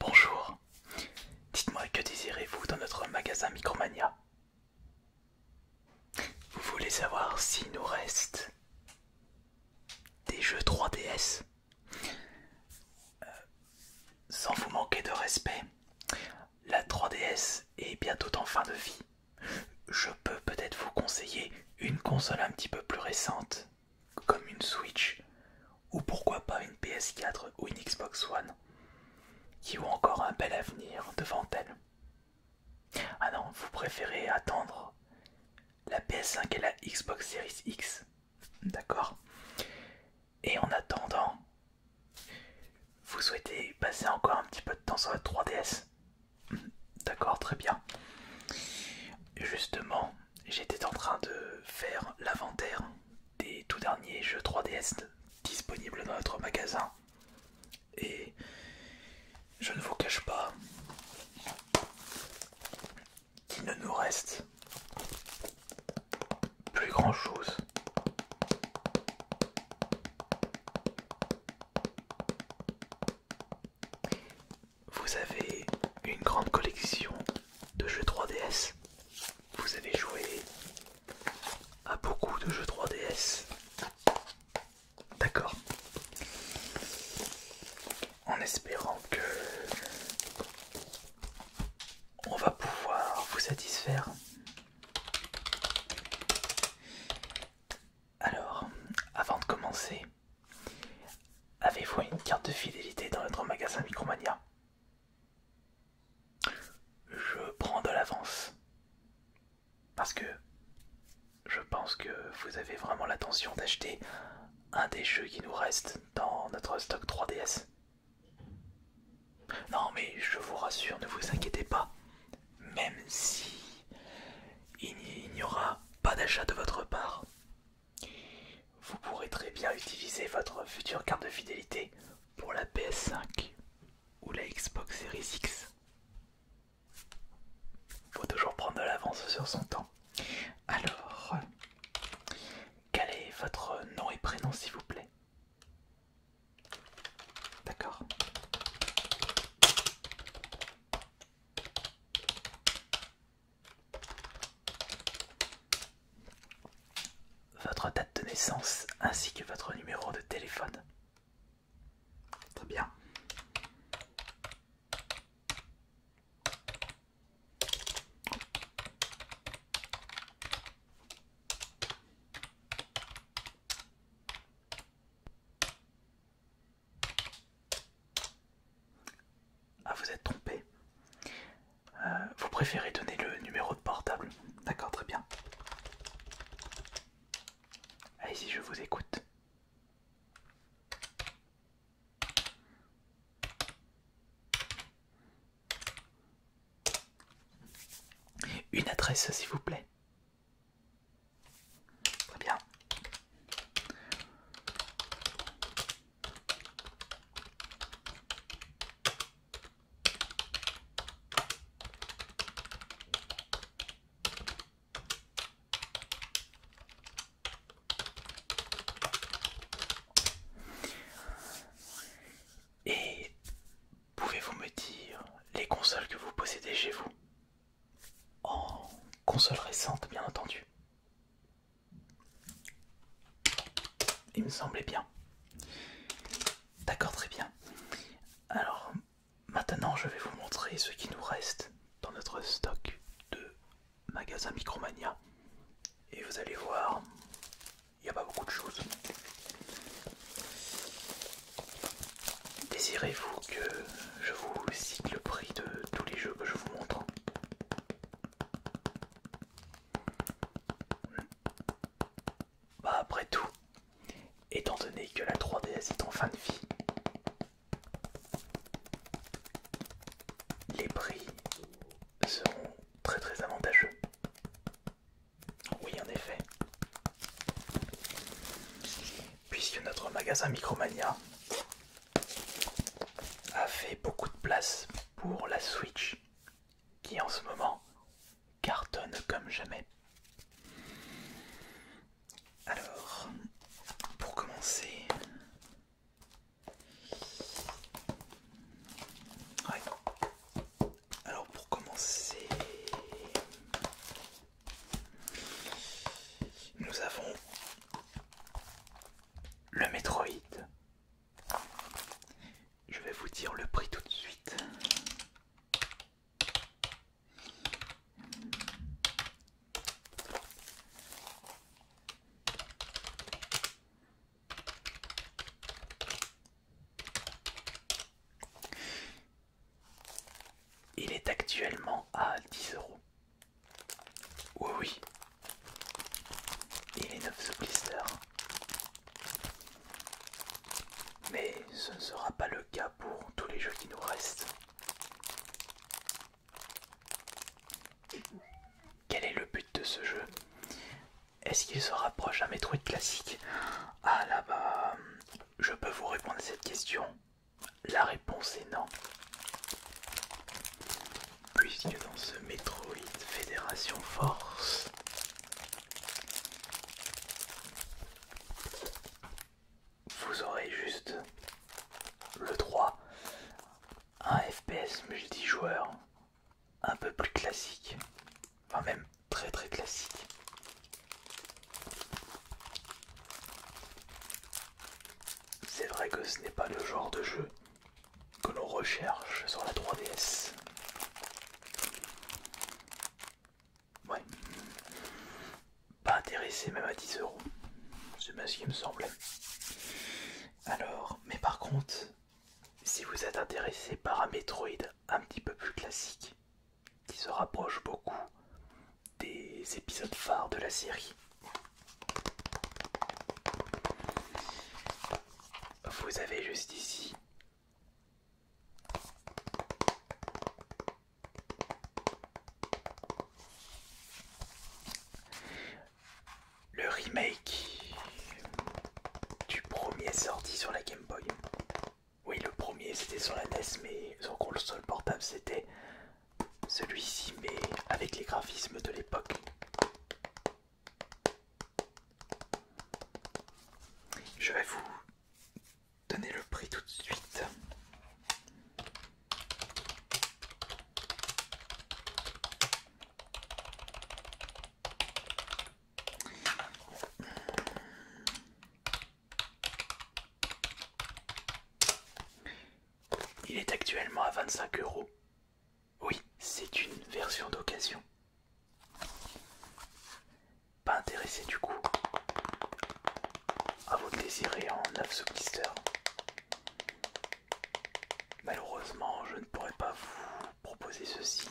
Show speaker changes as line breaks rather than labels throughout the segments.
Bonjour, dites-moi que désirez-vous dans notre magasin Micromania vous voulez savoir s'il nous reste des jeux 3DS euh, Sans vous manquer de respect, la 3DS est bientôt en fin de vie. Je peux peut-être vous conseiller une console un petit peu plus récente, comme une Switch, ou pourquoi pas une PS4 ou une Xbox One, qui ont encore un bel avenir devant elles. Ah non, vous préférez attendre la PS5 et la Xbox Series X. D'accord. Et en attendant, vous souhaitez passer encore un petit peu de temps sur la 3DS D'accord, très bien. Justement, j'étais en train de faire l'inventaire des tout derniers jeux 3DS disponibles dans notre magasin. Et je ne vous cache pas qu'il ne nous reste plus grand chose. Vous avez une grande collection de jeux 3DS. Vous avez joué à beaucoup de jeux 3DS. D'accord. En espérant que on va pouvoir vous satisfaire. Alors, avant de commencer, avez-vous une carte de fidélité dans notre magasin Micromania Je prends de l'avance. Parce que je pense que vous avez vraiment l'intention d'acheter un des jeux qui nous reste dans notre stock 3DS. Non mais je vous rassure, ne vous inquiétez pas. Même si il n'y aura pas d'achat de votre part, vous pourrez très bien utiliser votre future carte de fidélité pour la PS5 ou la Xbox Series X. Il Faut toujours prendre de l'avance sur son temps. Alors, quel est votre nom et prénom s'il vous plaît D'accord. Votre date de naissance ainsi que votre numéro de téléphone. Très bien. Ah, vous êtes trompé. Euh, vous préférez donner le numéro de portable D'accord, très bien. Allez-y, je vous écoute. Une adresse, s'il vous plaît. Très bien. Et pouvez-vous me dire les consoles que vous possédez chez vous En consoles récentes bien entendu. Il me semblait bien. D'accord, très bien. Alors, Maintenant, je vais vous montrer ce qui nous reste dans notre stock de magasins Micromania. Et vous allez voir, il n'y a pas beaucoup de choses. Désirez-vous que je vous cite le prix de tous les jeux que je vous montre bah après tout, étant donné que la 3DS est en fin de vie, les prix seront très très avantageux. Oui en effet. Puisque notre magasin Micromania a fait beaucoup de place pour la Switch qui en ce moment cartonne comme jamais. Alors, pour commencer... Alors pour commencer... Nous avons le Metroid. Je vais vous dire le prix tout de suite. Il est actuellement à 10 euros. Oui, oui. Il est neuf sous blister. Mais ce ne sera pas le cas pour tous les jeux qui nous restent. Quel est le but de ce jeu Est-ce qu'il se rapproche d'un Metroid classique Ah là-bas, je peux vous répondre à cette question. La réponse est non. Puisque dans ce Metroid Fédération Force, vous aurez juste le 3, un FPS multijoueur un peu plus classique, enfin même très très classique. C'est vrai que ce n'est pas le genre de jeu que l'on recherche sur la 3DS. Ouais. Pas intéressé même à 10€, euros. C'est bien ce qui me semblait. Alors, mais par contre, si vous êtes intéressé par un Metroid un petit peu plus classique, qui se rapproche beaucoup des épisodes phares de la série, vous avez juste ici le remake du premier sorti sur la Game Boy. Oui, le premier c'était sur la NES, mais sur console portable c'était celui-ci, mais avec les graphismes de l'époque. Je vais vous Donnez le prix tout de suite. Il est actuellement à vingt 25 euros. Oui, c'est une version d'occasion. Pas intéressé du coup à vous désiré en neuf sous Malheureusement, je ne pourrais pas vous proposer ceci.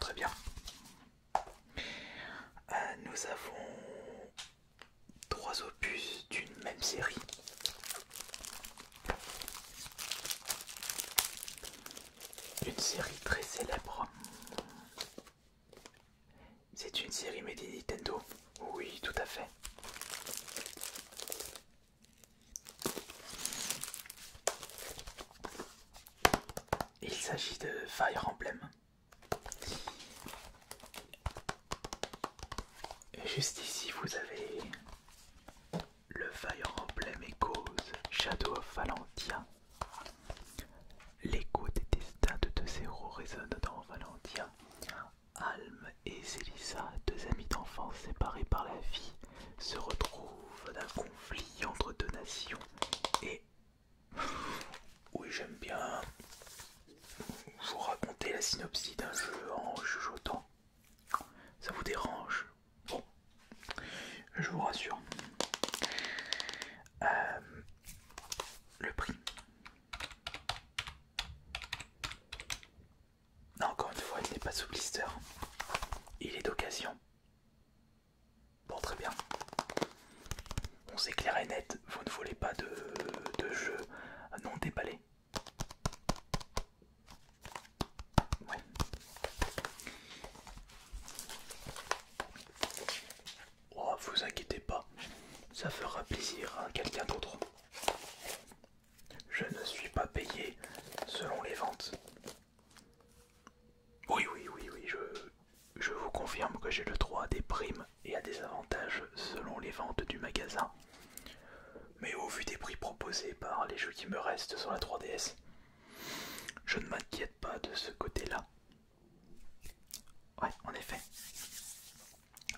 très bien. Euh, nous avons trois opus d'une même série une série très célèbre. C'est une série made Nintendo. Oui, tout à fait. Il s'agit de Fire Emblem. Juste ici, vous avez le Fire Emblem et Shadow of Valentia. L'écho des destins de deux héros résonne dans Valentia. Alm et Zelissa, deux amies d'enfance séparées par la vie, se retrouvent dans un conflit entre deux nations et... Oui, j'aime bien vous raconter la synopsie d'un jeu en chuchotant. Ça vous dérange Bon, je vous rassure. Euh, le prix. encore une fois, il n'est pas sous blister. Il est d'occasion. Bon, très bien. On s'éclaire et net, vous ne voulez pas de, de jeu non déballé. Oh, vous inquiétez pas, ça fera plaisir à quelqu'un d'autre. Je ne suis pas payé selon les ventes. Oui, oui, oui, oui, je, je vous confirme que j'ai le droit à des primes et à des avantages selon les ventes du magasin. Mais au vu des prix proposés par les jeux qui me restent sur la 3DS, je ne m'inquiète pas de ce côté-là. Ouais, en effet.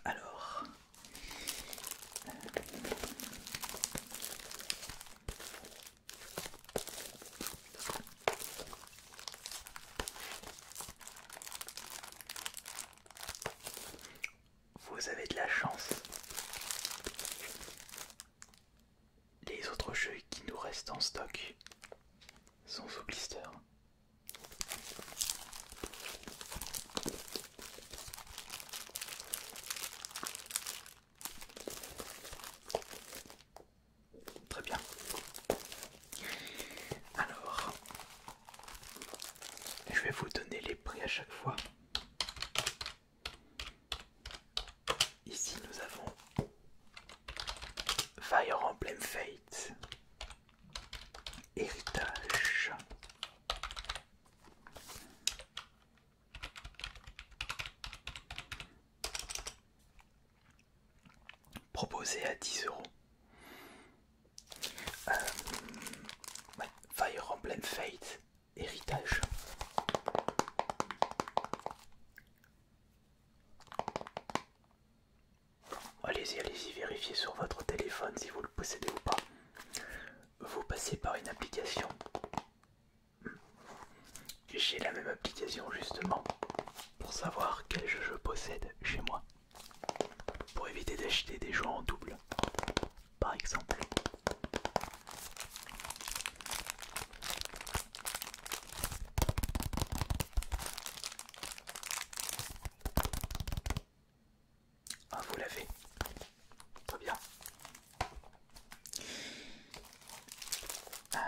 Alors... Vous avez de la chance les autres jeux qui nous restent en stock sont sous blister. Très bien. Alors, je vais vous donner les prix à chaque fois. Ici nous avons Fire Emblem Fate, Héritage. Proposé à 10 euros. Euh, Fire Emblem Fate, héritage. Allez-y, allez-y, vérifiez sur votre téléphone si vous le possédez ou pas. Vous passez par une application. J'ai la même application justement pour savoir quel jeu je possède chez moi. Pour éviter d'acheter des jeux en double par exemple. Ah, vous l'avez. Très bien. Euh,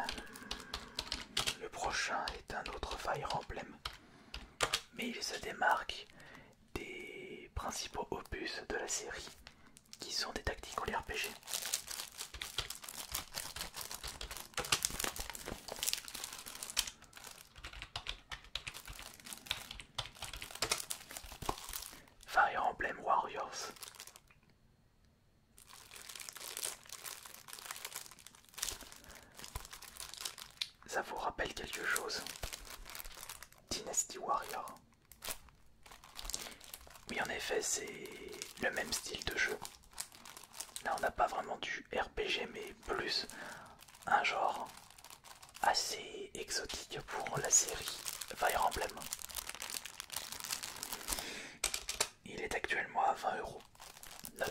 le prochain est un autre Fire Emblem, mais il se démarque des principaux opus de la série qui sont des tactiques ou les RPG. Fire Emblem Warriors. Ça vous rappelle quelque chose Dynasty Warrior. Oui, en effet, c'est le même style de jeu. Là, on n'a pas vraiment du RPG, mais plus un genre assez exotique pour la série Fire Emblem. Il est actuellement à 20,9€.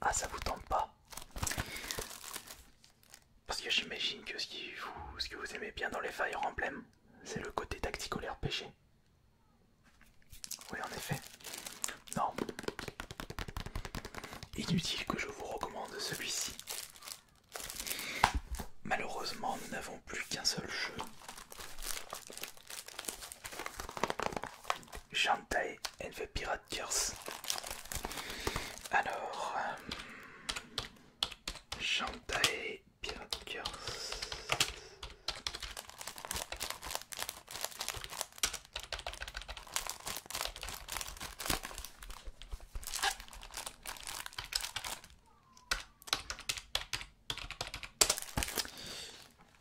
Ah, ça vous tente pas Parce que j'imagine que ce, que vous aimez bien dans les Fire Emblem, c'est le côté tacticolaire pêché. Oui, en effet. Non. Inutile que je vous recommande celui-ci. Malheureusement, nous n'avons plus qu'un seul jeu. Chantay and the Pirate Curse. Alors, Chantay euh, et Pirate Curse.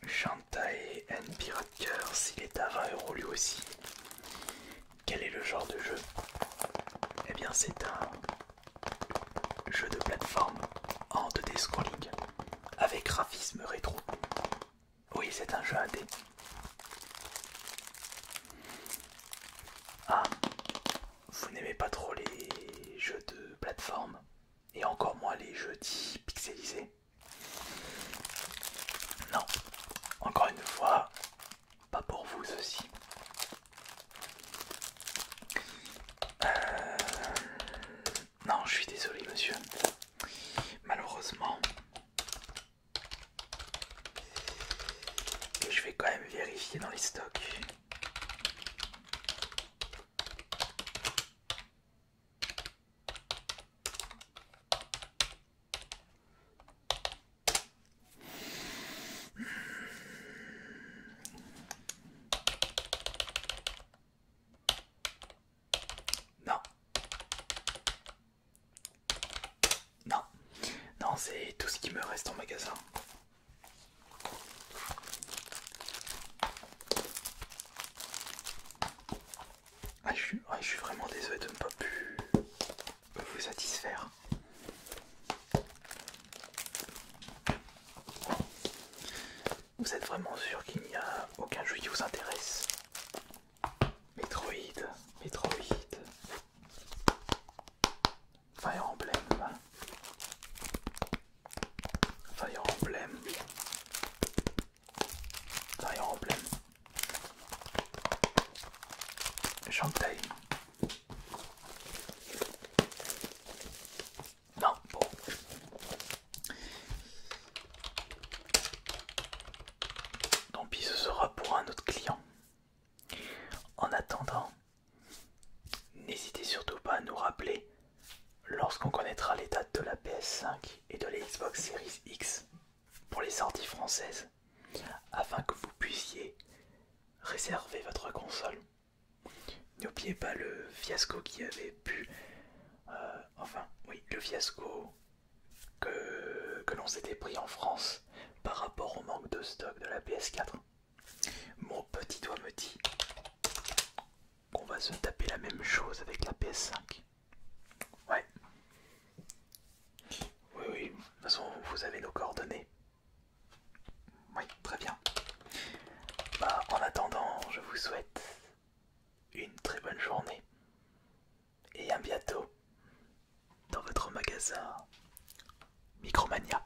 Shantae and Pirate Curse, il est à 20€ lui aussi. Quel est le genre de jeu Eh bien c'est un jeu de plateforme en 2D scrolling avec graphisme rétro. Oui c'est un jeu à Ah, vous n'aimez pas trop les jeux de plateforme et encore moins les jeudis pixelisés. Non, encore une fois, pas pour vous ceci. Euh, non, je suis désolé monsieur. Malheureusement. je vais quand même vérifier dans les stocks. Non. Non. Non, c'est tout ce qui me reste en magasin. Ah, ah, je suis, vraiment désolé de ne pas pu vous satisfaire. Vous êtes vraiment sûr qu'il n'y a aucun jeu qui vous intéresse Metroid, Metroid, Fire Emblem y Fire Emblem. Fire Emblem. taille, Non, bon. Tant pis, ce sera pour un autre client. En attendant, N'hésitez surtout pas à nous rappeler lorsqu'on connaîtra les dates de la PS5 et de la Xbox Series X pour les sorties françaises, afin que vous puissiez réserver votre console. N'oubliez pas le fiasco qui avait pu... Euh, enfin, oui, le fiasco que l'on s'était pris en France par rapport au manque de stock de la PS4. Mon petit doigt me dit qu'on va se taper la même chose avec la PS5. Ouais. Oui, oui. De toute façon, vous avez nos coordonnées. Oui, très bien. Bah, en attendant, je vous souhaite une très bonne journée. Et à bientôt dans votre magasin Micromania.